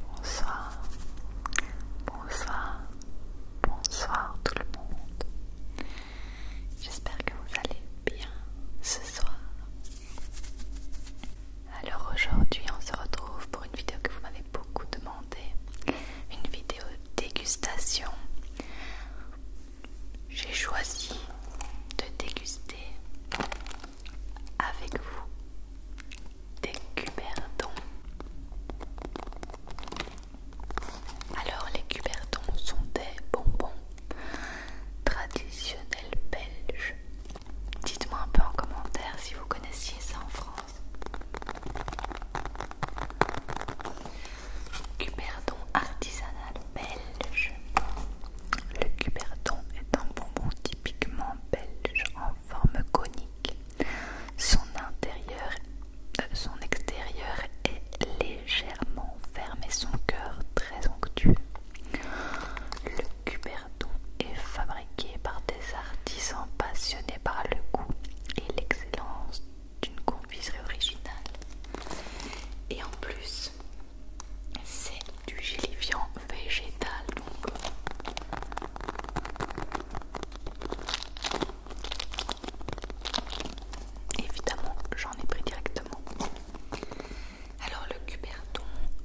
Bonsoir, bonsoir, bonsoir tout le monde. J'espère que vous allez bien ce soir. Alors aujourd'hui on se retrouve pour une vidéo que vous m'avez beaucoup demandé. Une vidéo dégustation. J'ai choisi de déguster avec vous des cuberdons. Alors les cuberdons sont des bonbons traditionnels belges. Dites-moi un peu en commentaire si vous connaissiez ça en France. Cuberdon artisanal belge. Le Cuberton est un bonbon typiquement belge en forme conique. Son intérieur, euh, son extérieur est légèrement fermé. son cœur très onctueux. Le Cuberton est fabriqué par des artisans passionnés par le goût et l'excellence d'une confiserie originale. Et en plus, c'est du gélifiant végétal donc évidemment j'en ai pris directement alors le cuberton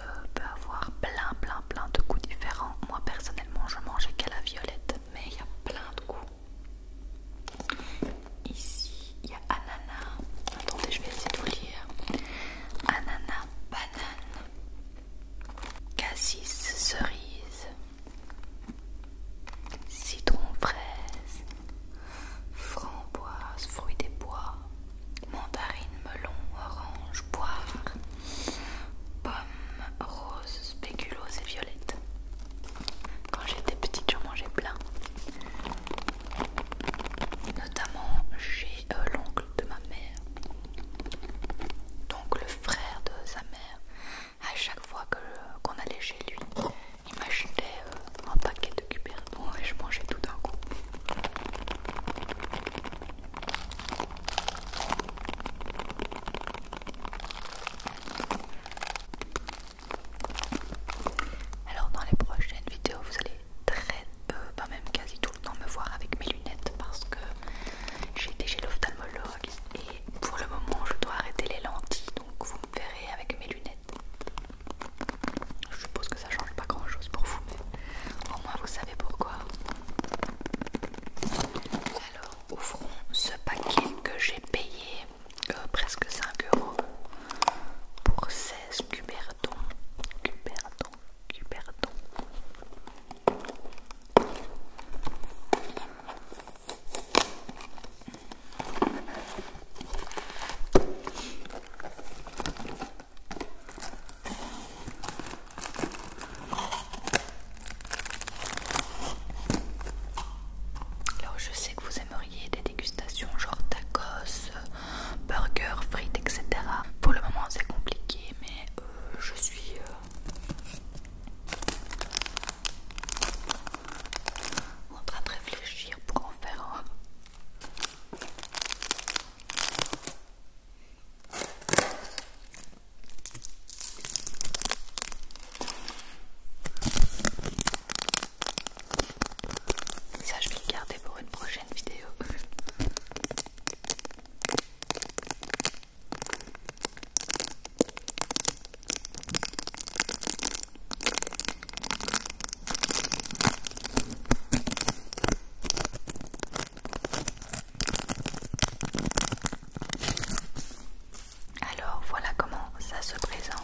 euh, peut avoir plein plein plein de goûts différents moi personnellement je mangeais qu'à la violette mais il y a plein de goûts ici il y a ananas. Attendez, je vais essayer de vous lire. Ananas, banane, cassis, cerise, citron, fraise, framboises, fruits des bois, mandarines, melon, orange, poire, pomme, rose, spéculoos et violette. Quand j'étais petite, j'en mangeais plein notamment chez euh, l'oncle de ma mère, donc le frère de sa mère. À chaque fois qu'on allait chez lui, il m'achetait euh, un paquet de cuberdons et je mangeais tout d'un coup. Alors dans les prochaines vidéos, vous allez très, peu, pas même quasi tout le temps me voir avec mes lunettes parce que j'ai été chez l'ophtalmologue et pour le moment je dois arrêter les lentilles donc vous me verrez avec mes lunettes. Je suppose que ça change pas grand chose pour vous mais au moins vous savez pourquoi. Alors ouvrons ce paquet que j'ai payé euh, presque 5 euros pour 16 cuberdons. Cuberdons, cuberdons. Alors je sais que vous aimeriez des dégustations genre tacos, Burger, frites, etc. Pour le moment, c'est compliqué, mais euh, je suis. Euh, en train de réfléchir pour en faire un. Ça, je vais le garder pour une prochaine vidéo. Alors voilà comment ça se présente.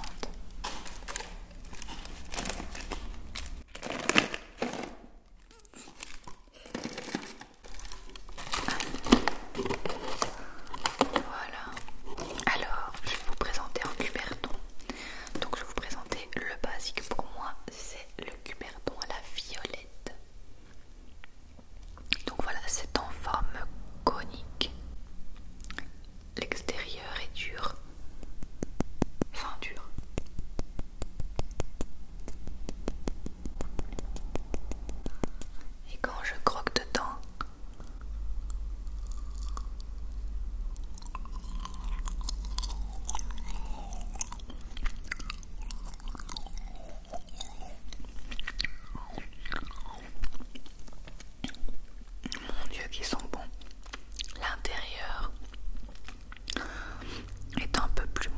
Voilà. Alors, je vais vous présenter en Cuberton. Donc, je vais vous présenter le basique pour moi, c'est le Cuberton à la violette. Donc voilà, c'est en forme conique L'extérieur est dur. fin dur. Et quand je croque dedans, mon Dieu, qui sont bons. L'intérieur est un peu plus mou.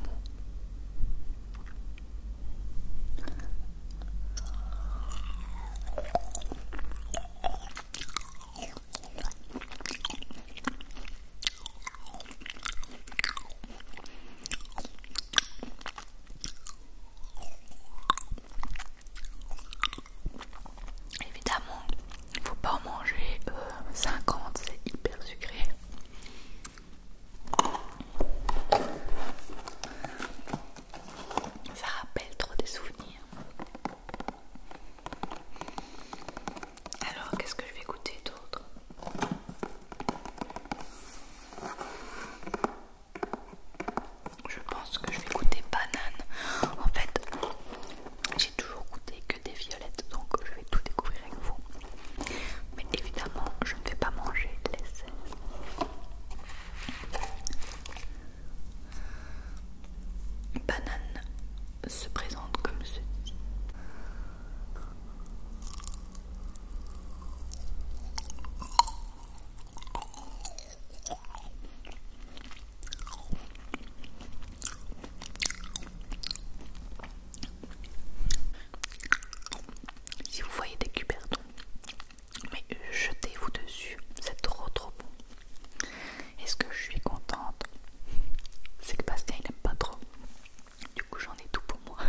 Évidemment, il ne faut pas en manger 50, euh, c'est hyper sucré. Ça rappelle trop des souvenirs. Alors, qu'est-ce que je vais goûter d'autre je pense que je vais goûter banane. En fait, j'ai toujours goûté que des violettes, donc je vais tout découvrir avec vous. Mais évidemment, je ne vais pas manger les Banane se présente comme ceci. Si vous voyez des cubertons mais jetez-vous dessus, c'est trop trop bon. Et ce que je suis contente, c'est que Bastien il aime pas trop. Du coup j'en ai tout pour moi.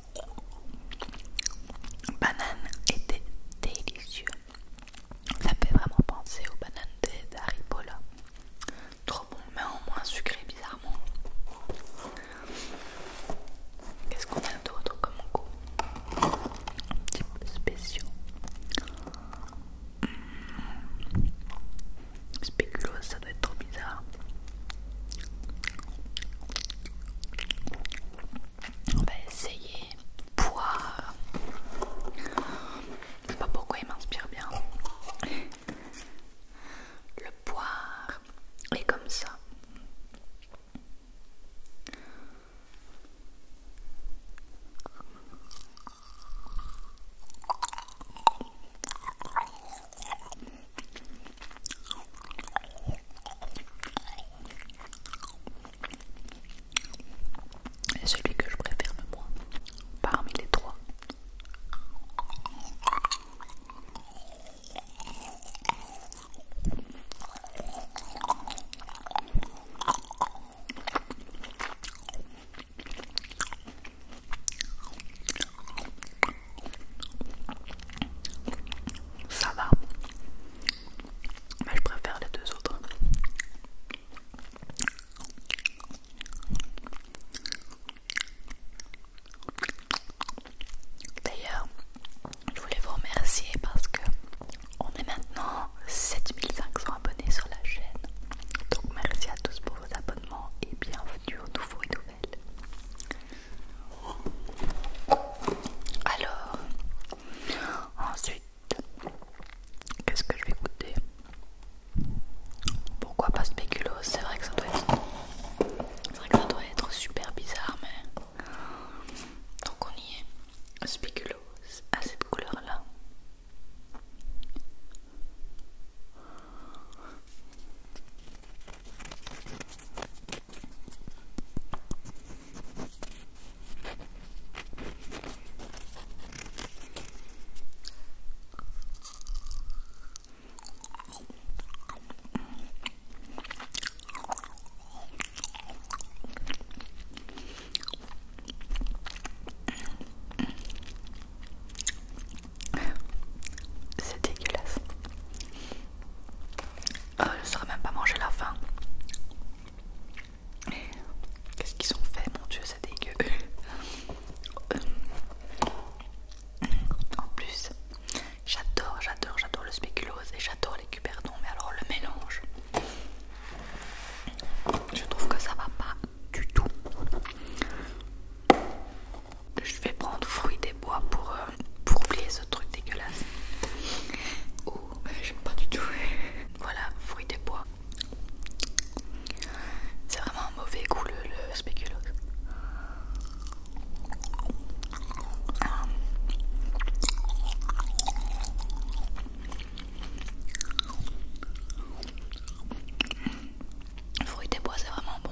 banane était délicieux. Ça fait vraiment penser aux bananes d'Aripola, Trop bon, mais en moins sucré bizarrement. Qu'est-ce qu'on a d'autre comme goût Un petit peu spéciaux. Hmm. Spéculose, ça doit être trop bizarre on va essayer poire Je sais pas pourquoi il m'inspire bien. Le poire est comme ça. C'est celui que je préfère le moins parmi les trois. Ça va, mais bah, je préfère les deux autres. D'ailleurs, je voulais vous remercier parce que on est maintenant 7500 abonnés sur la chaîne. Donc merci à tous pour vos abonnements et bienvenue aux nouveaux et nouvelles. Alors, ensuite, qu'est-ce que je vais goûter Pourquoi pas spéculoos C'est vrai que ça doit être, super bizarre, mais donc on y est. spéculose à cette couleur-là. C'est dégueulasse. Euh, je ne saurais même pas manger la fin. Qu'est-ce qu'ils ont fait Mon dieu, c'est dégueu. Euh, en plus, j'adore, j'adore, j'adore le spéculose et j'adore les cuberdons, mais alors le mélange, je trouve que ça va pas du tout. Je vais prendre fruits bois euh, pour, oublier ce truc dégueulasse. Oh, j'aime pas du tout. voilà, fruit des bois. C'est vraiment un mauvais goût le, le spéculoos. des bois, c'est vraiment bon.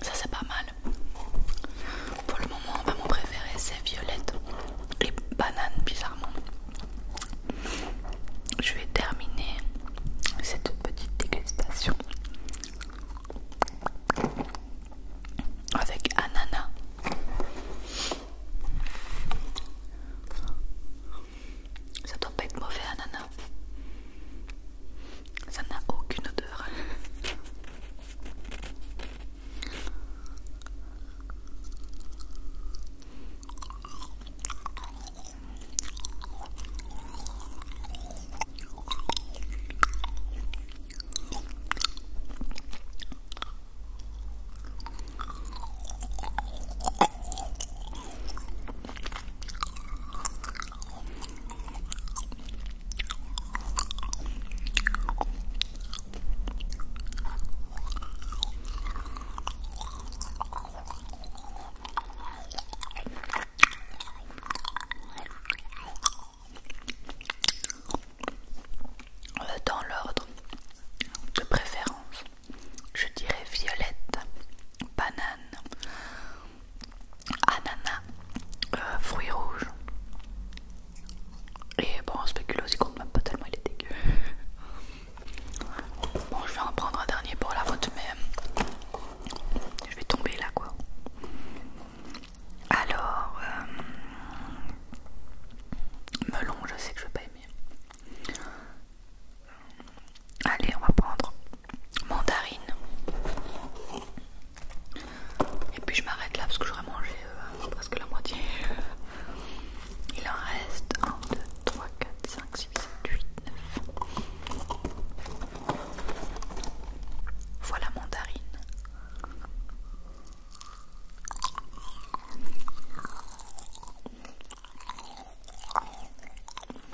Ça c'est pas mal. Pour le moment, bah, mon préféré c'est violette et banane bizarrement. Je vais terminer cette petite dégustation avec ananas. Ça doit pas être mauvais, ananas. Hein, Ça n'a aucune odeur. Dans l'ordre de préférence, je dirais violette, banane, ananas, euh, fruits rouges. Et bon, spéculo spéculoos, il compte même pas tellement, il est dégueu. Bon, je vais en prendre un dernier pour la route, mais je vais tomber là quoi. Alors, euh, melon, je sais que je vais pas aimer. Allez, on va prendre mandarine. Et puis je m'arrête là parce que j'aurais mangé euh, presque la moitié. Il en reste 1, 2, 3, 4, 5, 6, 7, 8, 9. Voilà mandarine.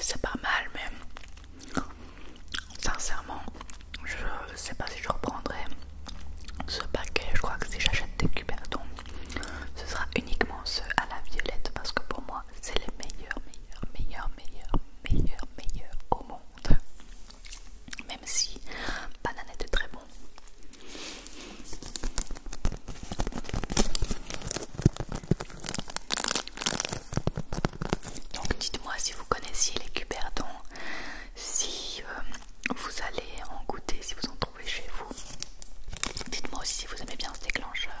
C'est pas mal, mais sincèrement, je sais pas si je reprendrai ce paquet. Je crois que si j'achète des cubertons, ce sera uniquement ceux à la violette parce que pour moi, c'est les meilleurs, meilleurs, meilleurs, meilleurs, meilleurs, meilleurs au monde. Même si banane était très bon. Donc dites-moi si vous connaissiez les cuberdons, si euh, vous allez en goûter, si vous en trouvez chez vous. Dites-moi aussi si vous aimez bien ce déclencheur.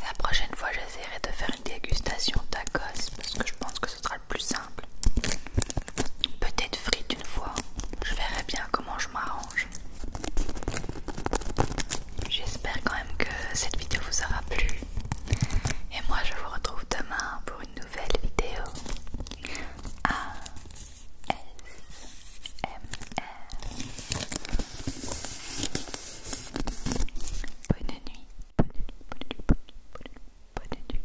La prochaine fois, j'essaierai de faire une dégustation tacos parce que je pense que ce sera le plus simple. Peut-être frites une fois, je verrai bien comment je m'arrange. J'espère quand même que cette vidéo vous aura plu. Et moi, je vous retrouve demain pour une nouvelle vidéo. A M R. Bonne nuit. Bonne nuit. Bonne nuit. Bonne nuit. Bonne nuit.